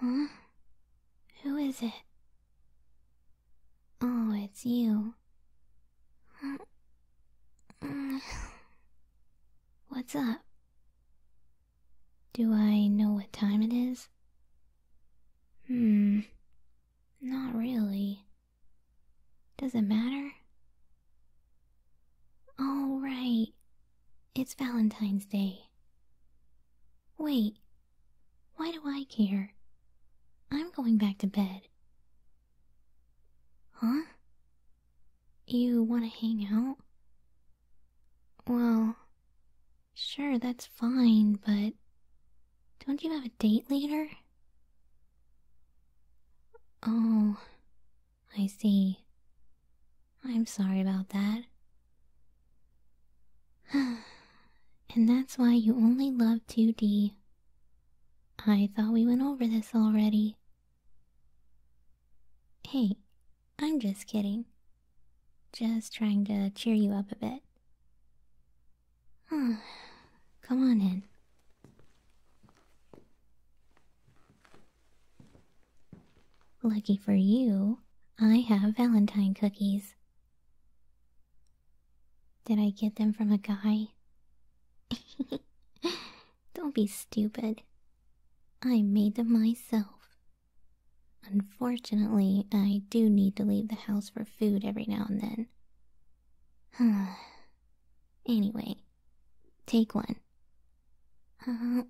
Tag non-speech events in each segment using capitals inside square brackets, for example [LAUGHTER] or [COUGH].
Huh? Who is it? Oh, it's you. [SIGHS] What's up? Do I know what time it is? Hmm. Not really. Does it matter? All right, It's Valentine's Day. Wait, why do I care? I'm going back to bed. Huh? You want to hang out? Well, sure, that's fine, but don't you have a date later? Oh, I see. I'm sorry about that. [SIGHS] and that's why you only love 2D. I thought we went over this already. Hey, I'm just kidding. Just trying to cheer you up a bit. [SIGHS] Come on in. Lucky for you, I have Valentine cookies. Did I get them from a guy? [LAUGHS] Don't be stupid. I made them myself. Unfortunately, I do need to leave the house for food every now and then. [SIGHS] anyway, Take one. Uh-huh.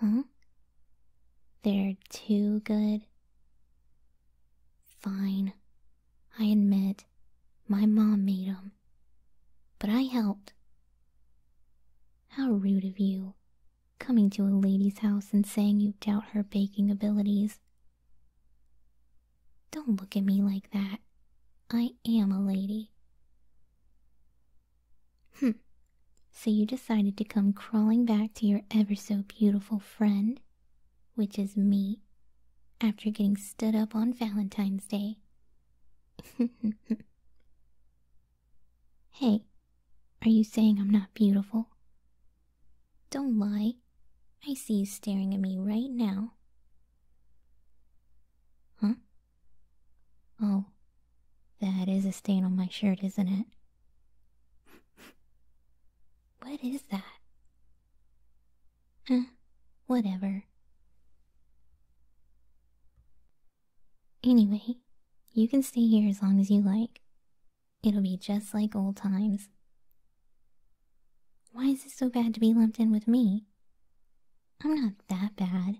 huh? They're too good. Fine. I admit, my mom made 'em. But I helped. How rude of you, coming to a lady's house and saying you doubt her baking abilities don't look at me like that. I am a lady. Humph. So you decided to come crawling back to your ever so beautiful friend, which is me, after getting stood up on Valentine's Day. [LAUGHS] hey, are you saying I'm not beautiful? Don't lie. I see you staring at me right now. Huh? Oh, that is a stain on my shirt, isn't it? what is that? Huh? Eh, whatever. Anyway, you can stay here as long as you like. It'll be just like old times. Why is it so bad to be lumped in with me? I'm not that bad.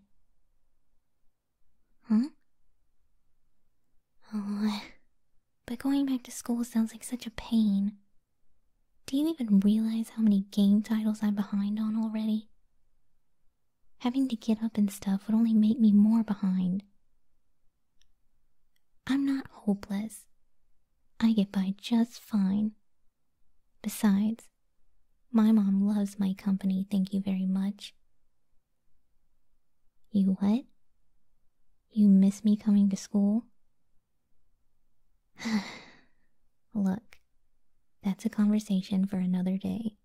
Huh? Oh, [SIGHS] but going back to school sounds like such a pain. Do you even realize how many game titles I'm behind on already? Having to get up and stuff would only make me more behind. I'm not hopeless. I get by just fine. Besides, my mom loves my company, thank you very much. You what? You miss me coming to school? [SIGHS] Look, that's a conversation for another day.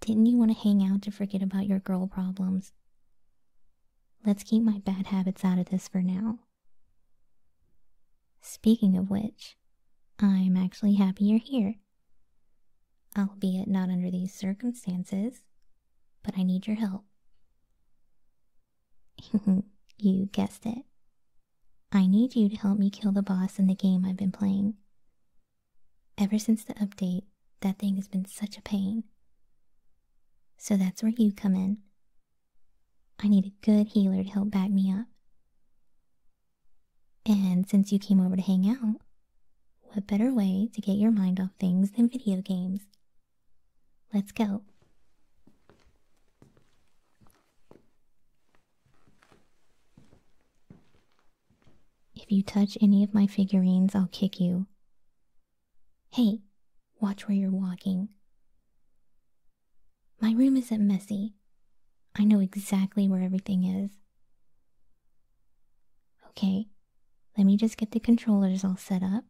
Didn't you want to hang out to forget about your girl problems? Let's keep my bad habits out of this for now. Speaking of which, I'm actually happy you're here. Albeit not under these circumstances, but I need your help. [LAUGHS] you guessed it. I need you to help me kill the boss in the game I've been playing. Ever since the update, that thing has been such a pain. So that's where you come in. I need a good healer to help back me up. And since you came over to hang out, what better way to get your mind off things than video games? Let's go. If you touch any of my figurines, I'll kick you. Hey, watch where you're walking. My room isn't messy. I know exactly where everything is. Okay, let me just get the controllers all set up.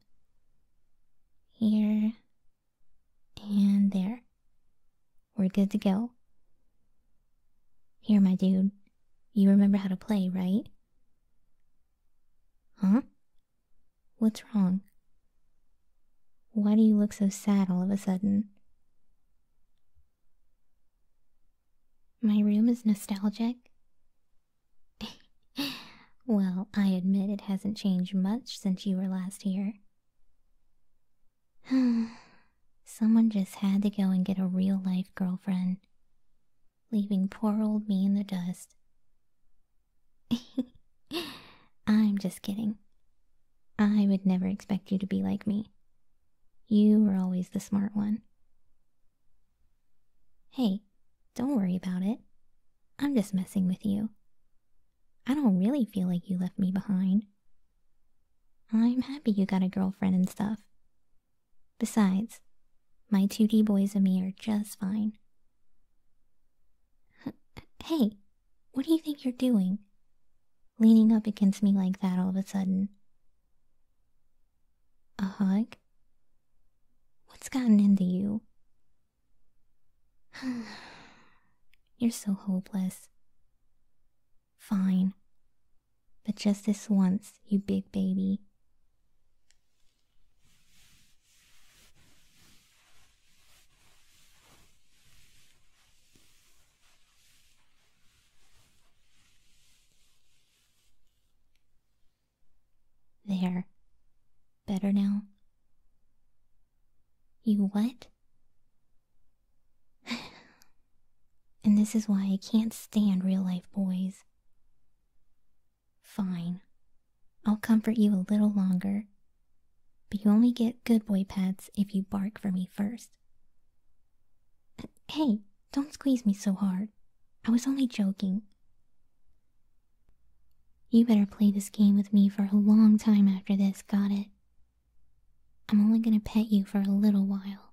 Here and there. We're good to go. Here, my dude. You remember how to play, right? Huh? What's wrong? Why do you look so sad all of a sudden? My room is nostalgic? [LAUGHS] well, I admit it hasn't changed much since you were last here. [SIGHS] Someone just had to go and get a real life girlfriend, leaving poor old me in the dust. [LAUGHS] I'm just kidding. I would never expect you to be like me. You were always the smart one. Hey, don't worry about it. I'm just messing with you. I don't really feel like you left me behind. I'm happy you got a girlfriend and stuff. Besides, my 2D boys and me are just fine. Hey, what do you think you're doing? Leaning up against me like that all of a sudden. A hug? What's gotten into you? [SIGHS] You're so hopeless. Fine. But just this once, you big baby. There. Better now? You what? [LAUGHS] and this is why I can't stand real life boys. Fine. I'll comfort you a little longer. But you only get good boy pets if you bark for me first. Hey, don't squeeze me so hard. I was only joking. You better play this game with me for a long time after this, got it? I'm only gonna pet you for a little while.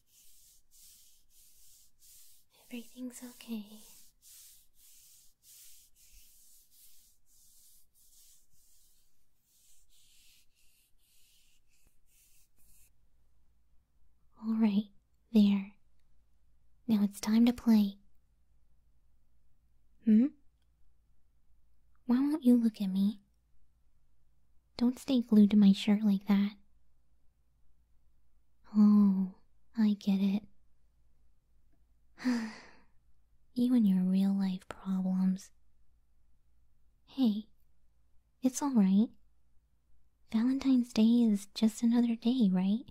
Everything's okay. All right, there. Now it's time to play. Hmm? Why won't you look at me? Don't stay glued to my shirt like that. Oh, I get it. [SIGHS] you and your real life problems. Hey, it's alright. Valentine's Day is just another day, right?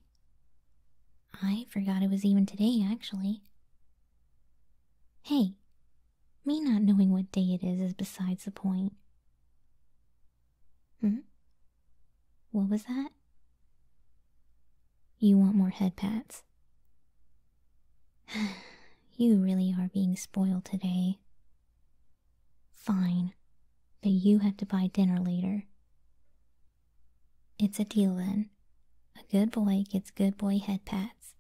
I forgot it was even today, actually. Hey, me not knowing what day it is is besides the point. Hmm? What was that? You want more head pats. [SIGHS] you really are being spoiled today. Fine, but you have to buy dinner later. It's a deal then. A good boy gets good boy head pats.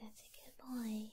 That's a good boy.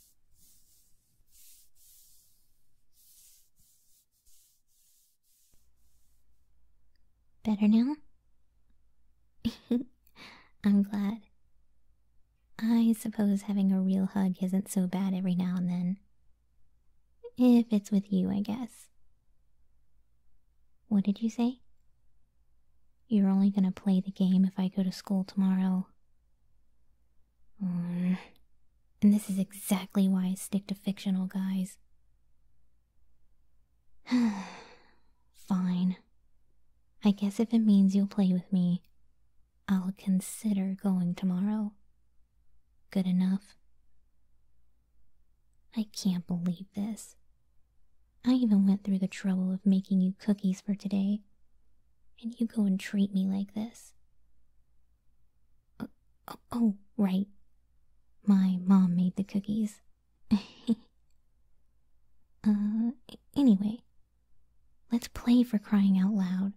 Better now? [LAUGHS] I'm glad. I suppose having a real hug isn't so bad every now and then. If it's with you, I guess. What did you say? You're only gonna play the game if I go to school tomorrow. And this is exactly why I stick to fictional guys. [SIGHS] Fine. I guess if it means you'll play with me, I'll consider going tomorrow. Good enough. I can't believe this. I even went through the trouble of making you cookies for today, and you go and treat me like this. Oh, oh, oh right. My mom made the cookies. [LAUGHS] uh, anyway, let's play for crying out loud.